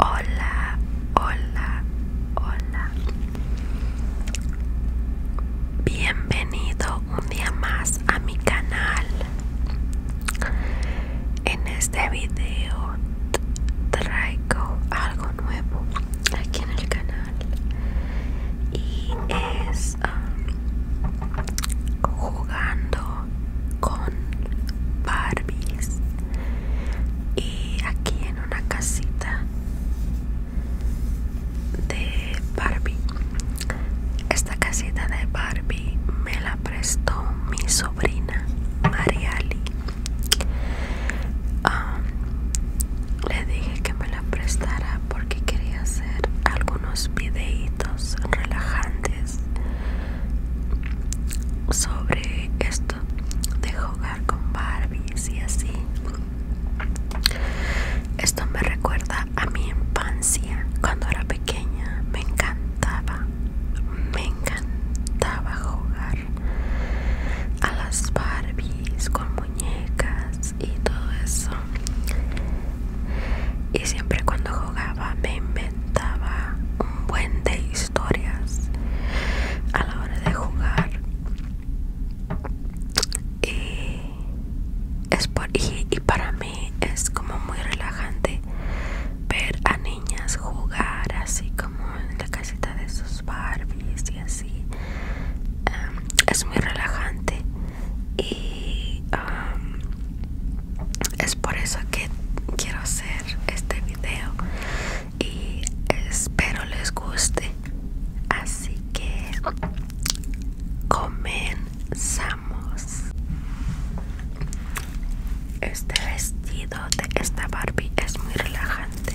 Hola, hola, hola. Bienvenido un día más a mi canal. En este video traigo algo nuevo aquí en el canal y es jugando con Barbies y aquí en una casita de Barbie. Esta casita de Barbie me la prestó mi sobrina Mariali. Ah, le dije que me la prestara porque quería hacer algunos videitos relajantes sobre esto de jugar con Barbies y así. Esto me recuerda a mi infancia cuando era pequeña. Me encantaba, me encantaba jugar a las Barbies con muñecas y todo eso y siempre cuando jugaba me inventaba un buen de historias a la hora de jugar y, es por, y, para mí es como muy relajante ver a niñas jugar así como en la casita de sus Barbies y así em, es muy relajante y es por eso que quiero hacer este video y espero les guste así que comenzamos este vestido de esta Barbie es muy relajante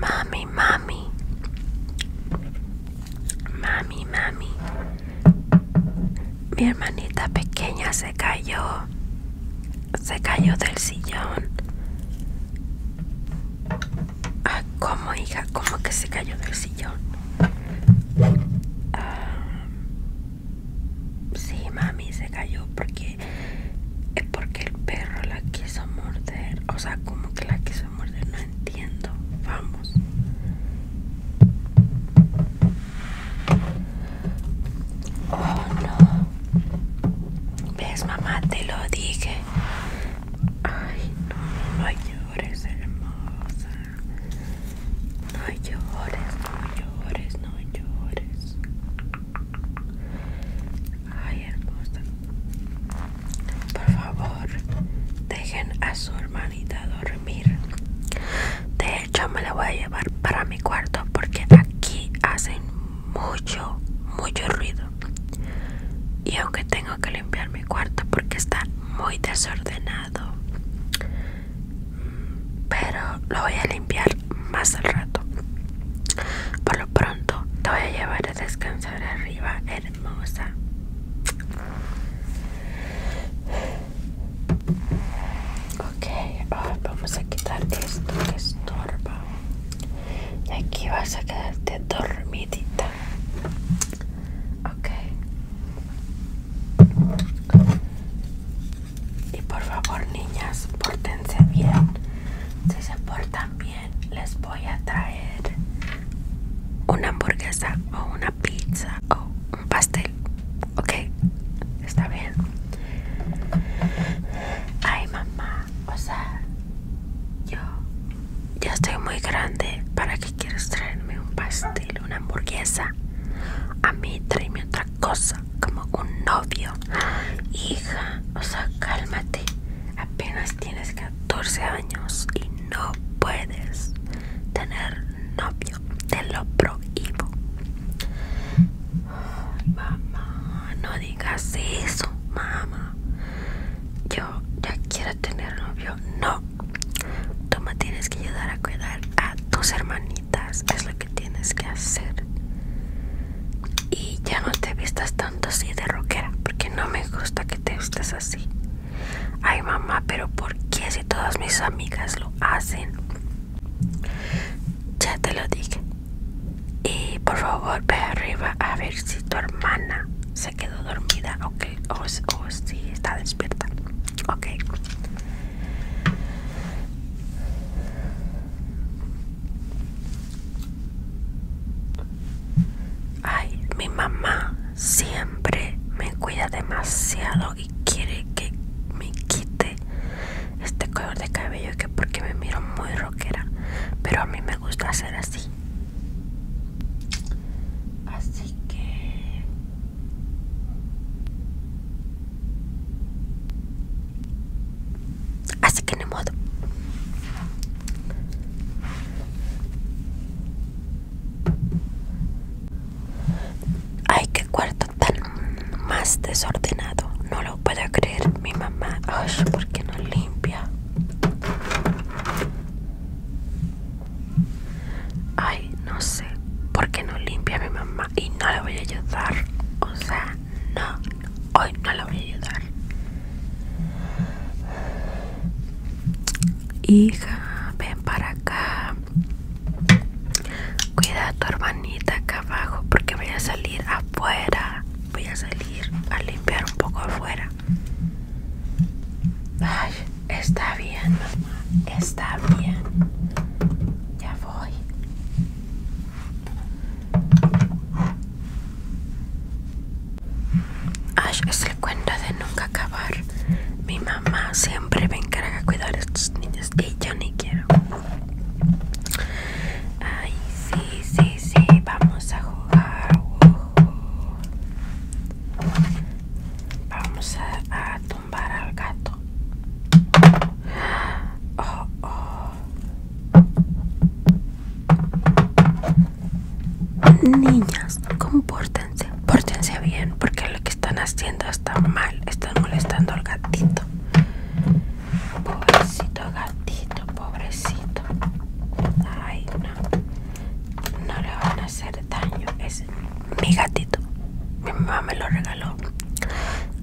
Mami, mami. Mami, mami. Mi hermanita pequeña se cayó. Se cayó del sillón. Ah, ¿Cómo, hija? ¿Cómo que se cayó del sillón? Ah, Sí, mami se cayó porque es porque el perro la quiso morder. O sea, como que la quiso morder, no entiendo. Vamos. Oh no. ¿Ves mamá? Te lo dije. Ay, no, no llores, hermosa. No llores, no llores, no llores. Ay, hermosa. Por favor, dejen a su hermanita dormir. De hecho, me la voy a llevar para mi cuarto porque aquí hacen mucho, mucho ruido. Y aunque tengo que limpiar mi cuarto porque está muy desordenado pero lo voy a limpiar más al rato por lo pronto te voy a llevar a descansar arriba hermosa ok vamos a quitar esto que estorba y aquí vas a quedarte dormidita ok y por favor, niñas, pórtense bien. Si se portan bien, les voy a traer una hamburguesa o una pizza o un pastel. ¿Ok? ¿Está bien? Ay, mamá, o sea, yo ya estoy muy grande. ¿Para qué quieres traerme un pastel? una hamburguesa. A mí tráeme otra cosa, como un novio. Hija, o sea, cálmate. Apenas tienes 14 años y no puedes tener novio. Te lo prohíbo. mamá, no digas eso, mamá. Yo ya quiero tener novio. No, Toma, tienes que ayudar a cuidar a tus hermanitas, es lo que tienes que hacer. Y ya no te vistas tanto así de rockera, porque no me gusta que te vistas así. Ay mamá, pero ¿por qué si todas mis amigas lo hacen? Ya te lo dije. Y por favor ve arriba a ver si tu hermana se quedó dormida o okay. está despierta. Ok. Ay, mi mamá siempre me cuida demasiado y quiere que me quite este color de cabello que porque me miro muy rockera, pero a mí me gusta hacer así así que así que ni modo ay qué cuarto tan más desordenado no lo puedo creer mi mamá porque no limpia Ay, no sé por qué no limpia mi mamá y no la voy a ayudar. O sea, no, hoy no la voy a ayudar. Hija, ven para acá. Cuida a tu hermanita acá abajo porque voy a salir afuera. Voy a salir a limpiar un poco afuera. Ay, está bien, mamá. Está bien. Ya voy. Ay, es el cuento de nunca acabar. Mi mamá siempre me encarga de cuidar a estos niños que yo ni quiero. Ay, sí, sí, sí, vamos a jugar. Vamos a, tumbar al gato. Oh, oh. Niñas, compórtense, pórtense bien, porque lo que están haciendo está mal, están molestando al gatito. Pobrecito gatito pobrecito, Ay, no. le van a hacer daño. Es mi gatito. Mi mamá me lo regaló.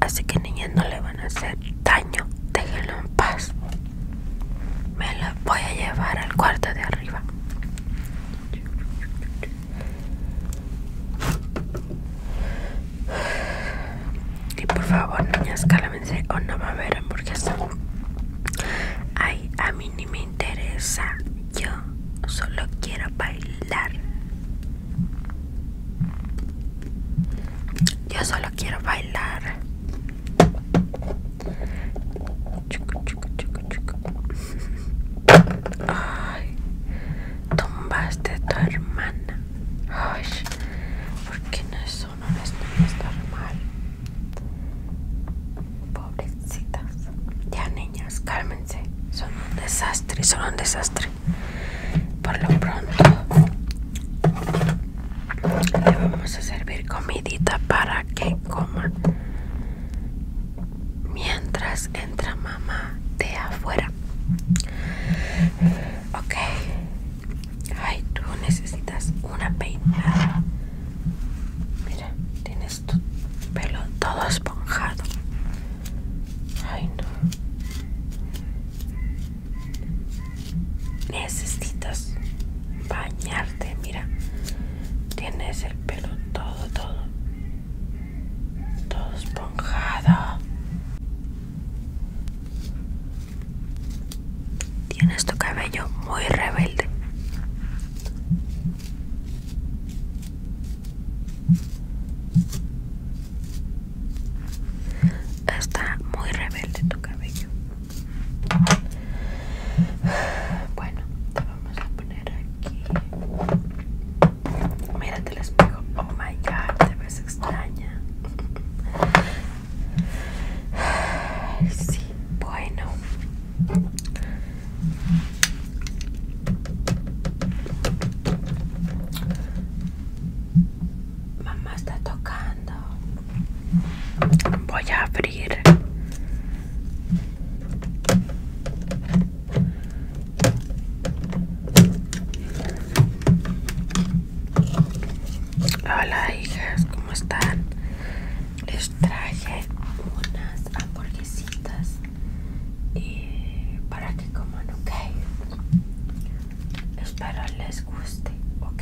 Así que niñas no le van a hacer daño. Déjenlo en paz. Me lo voy a llevar al cuarto de arriba. Y por favor, niñas, cálmense o no va a haber hamburguesa. Ay, a mí ni me interesa. Yo solo quiero bailar. Yo solo quiero bailar. Chuca, chuca, chuca, chuca. Ay, tumbaste a tu hermana. Ay, ¿por qué no es no les no mal. Pobrecitas. Ya niñas, cálmense. Son un desastre, son un desastre. Por lo pronto le vamos a servir comidita para que coma Mientras entra mamá de afuera. Ok, Ay, tú necesitas una peinada. Mira, tienes tu pelo todo esponjado. Ay, no. Necesitas bañarte, mira. Tienes el pelo todo, todo. Todo esponjado. Tienes tu cabello muy rebelde. Está muy rebelde tu cabello. Bueno, te vamos a poner aquí. Mira te el espejo. Oh my god, te ves bueno. Mamá está tocando. Voy a abrir Hola hijas, ¿cómo están? Les traje unas hamburguesitas eh, para que coman, ok. Espero les guste, ok.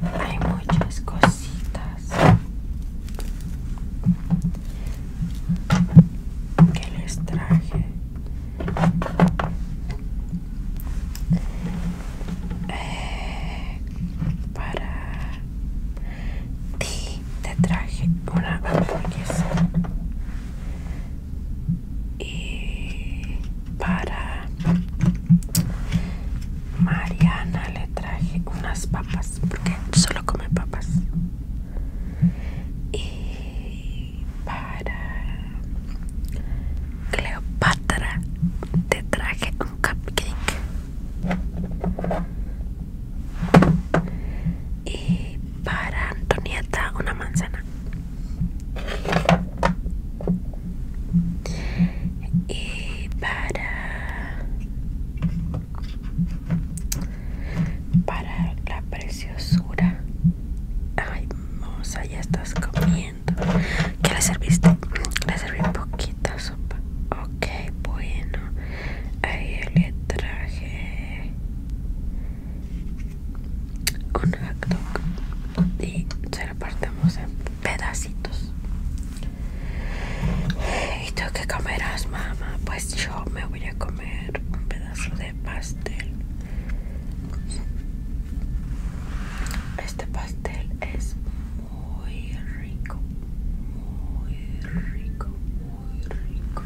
Hay muchas cositas que les traje eh, para ti te traje una hamburguesa y para Mariana le traje unas papas porque solo come papas y para Cleopatra te traje un cupcake y para Antonieta una manzana y para para la preciosura. Ay, moza, ya estás comiendo. ¿Qué le serviste? Le serví un poquito sopa. Ok, bueno. Ahí le traje un hot dog y se lo partamos en pedacitos. ¿tú qué comerás, mamá? Pues yo me voy a comer un pedazo de pastel. Este pastel es muy rico, muy rico, muy rico.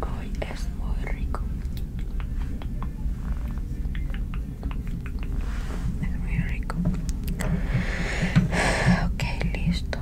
Hoy es muy rico. Es muy rico. Okay, listo.